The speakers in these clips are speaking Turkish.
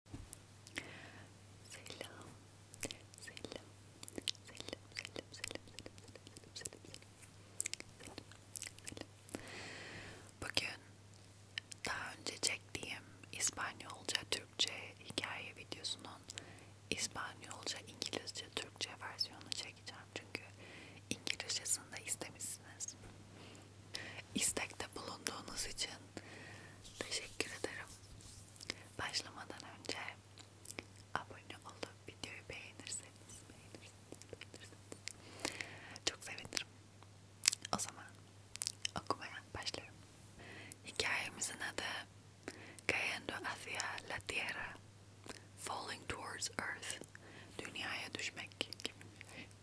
Selam, selam, selam, selam, selam, selam, selam, selam, selam. Bugün daha önce çektiğim İspanyolca, Türkçe hikaye videosunun İspanyolca, İngilizce, Türkçe versiyonunu çekeceğim çünkü İngilizcesini de istemişsiniz istekte bulunduğunuz için teşekkür ederim. Başlamadan önce abone olup videoyu beğenirseniz, beğenirseniz, beğenirseniz çok sevinirim. O zaman okumaya başlıyorum. Hikayemizin adı Cayendo hacia la tierra, falling towards earth, dünyaya düşmek gibi.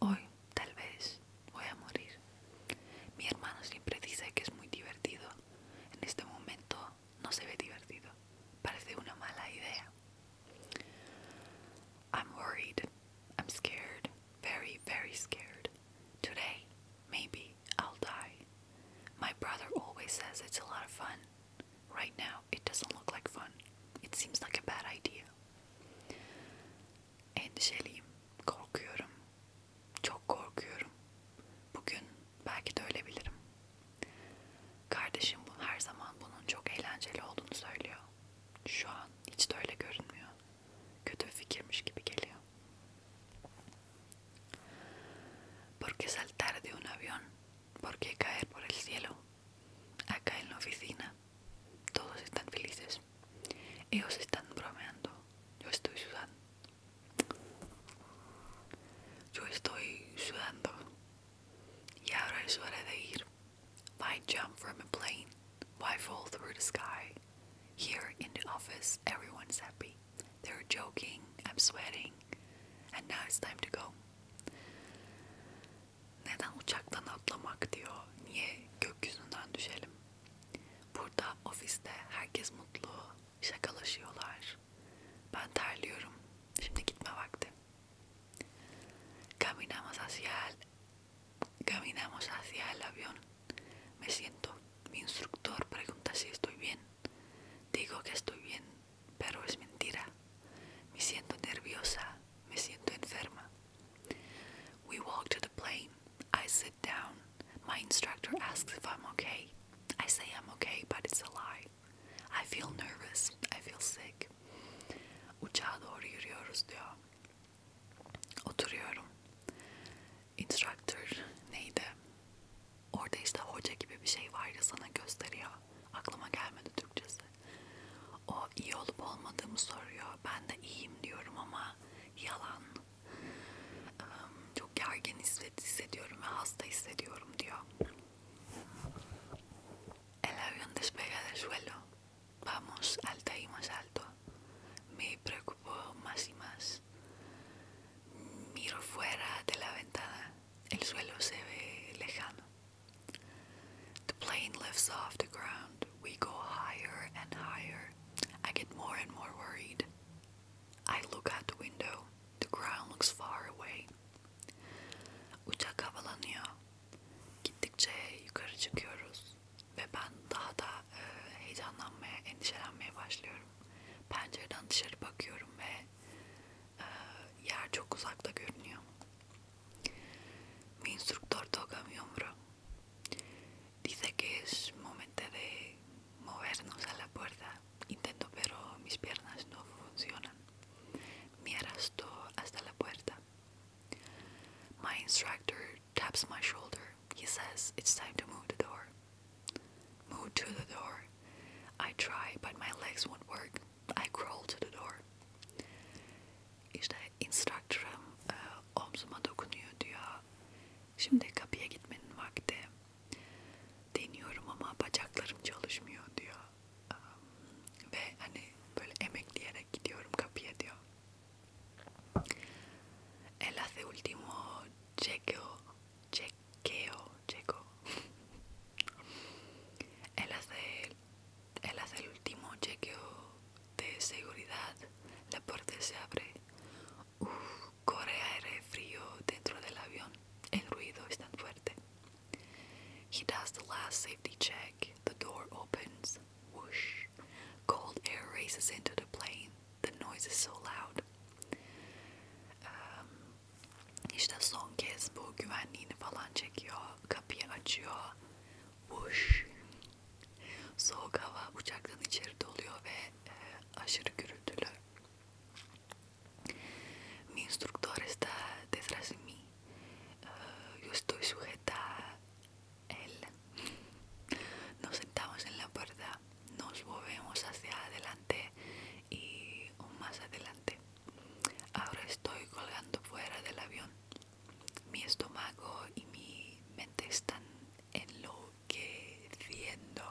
Hoy, tal vez, voy a morir. Mi hermano siempre dice que es muy divertido. En este momento no se ve divertido. Parece una mala idea. I'm worried. I'm scared. Very, very scared. Today, maybe I'll die. My brother always says it's a lot of fun. Right now, it doesn't look like fun. It seems like a bad idea. endişeliyim, korkuyorum, çok korkuyorum. Bugün belki de ölebilirim. Kardeşim bu her zaman bunun çok eğlenceli olduğunu söylüyor. Şu an hiç de öyle görünmüyor. Kötü bir fikirmiş gibi geliyor. ¿Por qué saltar de un avión? ¿Por qué caer por el cielo? Acá en la oficina Todos están felices. Ellos están bromeando. Yo estoy sudando. Yo estoy sudando. Y ahora es hora de ir. Why jump from a plane? Why fall through the sky? Here in the office, everyone's happy. They're joking, I'm sweating, and now it's time to go. neden uçaktan atlamak diyor, niye gökyüzünden düşelim? Burada ofiste herkes mutlu, şakalaşıyorlar. Ben terliyorum, şimdi gitme vakti. Caminamos hacia el, caminamos hacia el avión. Me siento. Mi instructor pregunta si estoy bien. Digo que estoy bien, pero es mentira. Me siento nerviosa, me siento enferma. We walk to the plane. I sit down. My instructor asks if I'm okay. I say I'm okay, but it's a lie. I feel nervous. I feel sick. Uçağa doğru yürüyoruz diyor. Oturuyorum. Instructor neydi? Orada işte hoca gibi bir şey vardı sana gösteriyor. Aklıma gelmedi Türkçesi. O iyi olup olmadığımı soruyor. Ben de iyiyim diyorum ama yalan. Çok gergin hissediyorum ve hasta hissediyorum diyor. El avión despega del suelo. Vamos alta y más alto. Me preocupo más y más. Miro fuera de la ventana. El suelo se ve lejano. The plane lifts off the ground. We go higher and higher. I get more and more worried. I look out the window. The ground looks far away. Uçak havalanıyor. Gittikçe yukarı çıkıyoruz ve ben daha da e, heyecanlanmaya, endişelenmeye başlıyorum. Pencereden dışarı bakıyorum ve e, yer çok uzakta görünüyor. Mi instructor toca mi hombro. Dice que es momento de movernos a la puerta. Intento, pero mis piernas no funcionan. Me arrastro hasta la puerta. My instructor taps my shoulder. He says, It's time to move the door. Move to the door. I try, but my legs won't work. I crawled to the door. İşte instructor'ım e, eh, omzuma dokunuyor diyor. Şimdi kapıya gitmenin vakti. Deniyorum ama bacaklarım çalışmıyor diyor. E, ve hani böyle emekleyerek gidiyorum kapıya diyor. El hace último chequeo, check Chequeo, Checo. el hace, él hace el último chequeo de seguridad. La puerta se abre. Uf, corre aire frío dentro del avión. El ruido es tan fuerte. He does the last safety check. The door opens. Whoosh. Cold air races into the plane. The noise is so loud. Um, esta son kez bu güvenliğini falan çekiyor. Kapıyı açıyor. Vuş. Soğuk hava uçaktan içeri doluyor ve e, aşırı gürültülü. Mi instructor está detrás de mí. Eh, yo estoy sujeta a él. Nos sentamos en la puerta, nos movemos hacia adelante y más adelante. Ahora estoy colgando fuera del avión. Mi estómago y mi mente están enloqueciendo.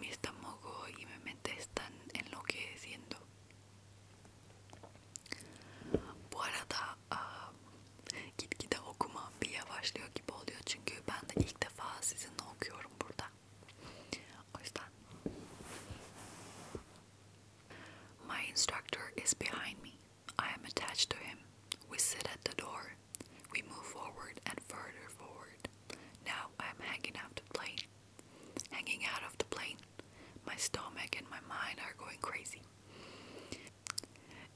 Mi estómago y mi mente están enloqueciendo. que uh, ah, My instructor is behind me. I am attached to him. We sit at the door. We move forward and further forward. Now I am hanging out of the plane. Hanging out of the plane. My stomach and my mind are going crazy.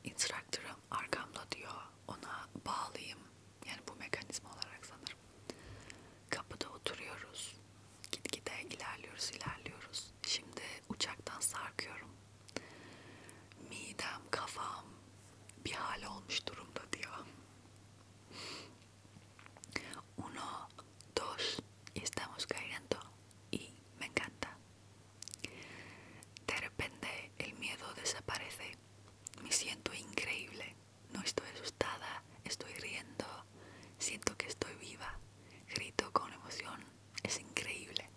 instruktörüm arkamda diyor ona bağlayayım yani bu mekanizma olarak sanırım kapıda oturuyoruz gitgide ilerliyoruz ilerliyoruz şimdi uçaktan sarkıyorum midem kafam bir hale olmuş durumda diyor uno dos estamos cayendo y me encanta De repente el miedo desaparece. Me siento increíble. No estoy asustada, estoy riendo. Siento que estoy viva. Grito con emoción. Es increíble.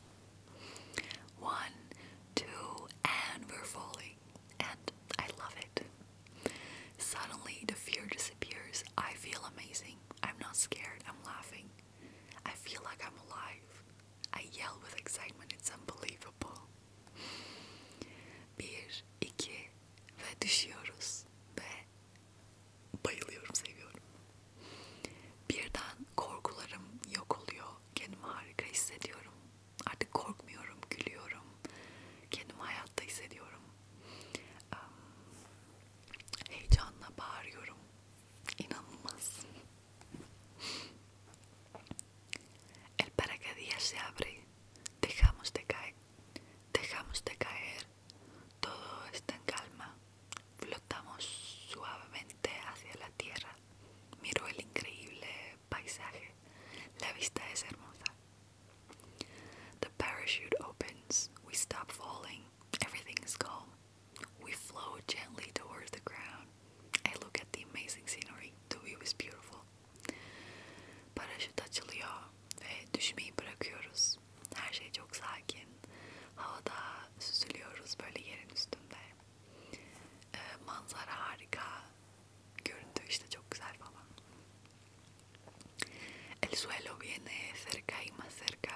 One, two, and we're falling. And I love it. Suddenly the fear disappears. I feel amazing. I'm not scared. I'm laughing. I feel like I'm alive. I yell with excitement. It's unbelievable. Bir, iki ve düşüyoruz ve bayılıyorum, seviyorum. Birden korkularım yok oluyor. Kendimi harika hissediyorum. Artık korkmuyorum, gülüyorum. Kendimi hayatta hissediyorum. Heyecanla bağırıyorum. Y más. el paracaídas se abre dejamos de caer dejamos de caer todo está en calma flotamos suavemente hacia la tierra miro el increíble paisaje la vista es hermosa the parachute opens we stop falling everything is calm We float gently towards the ground. I look at the amazing scenery. The view is beautiful. Paraşüt açılıyor ve düşmeyi bırakıyoruz. Her şey çok sakin. Havada süzülüyoruz böyle yerin üstünde. E, manzara harika. Görüntü işte çok güzel falan. El suelo viene cerca y más cerca.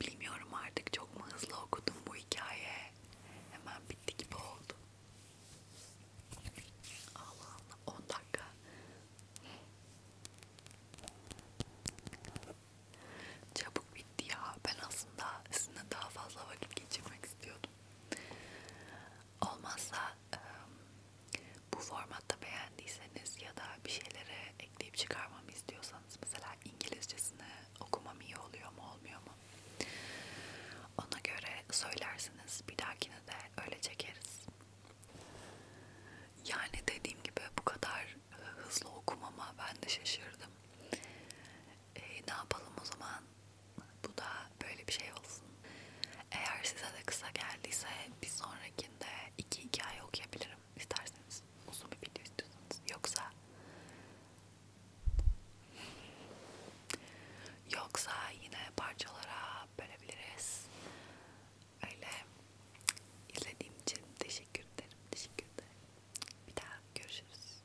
Bilmiyorum artık çok mu hızlı okudum bu hikaye. Hemen bitti gibi oldu. Allah Allah 10 dakika. Çabuk bitti ya. Ben aslında sizinle daha fazla vakit geçirmek istiyordum. Olmazsa bu formatta beğendiyseniz ya da bir şeylere ekleyip çıkarmamı istiyorsanız mesela İngilizcesini okumam iyi oluyor mu olmuyor mu? Ona göre söylersiniz. Bir dahakine de öyle çekeriz. Yani dediğim gibi bu kadar hızlı okumama ben de şaşırdım. E, ne yapalım o zaman? Bu da böyle bir şey olsun. Eğer size de kısa geldiyse bir sonrakinde iki hikaye okuyabilirim yaparım. İsterseniz uzun bir video istiyorsanız. Yoksa yoksa yine parçalara bölebiliriz. Öyle izlediğim için teşekkür ederim. Teşekkür ederim. Bir daha görüşürüz.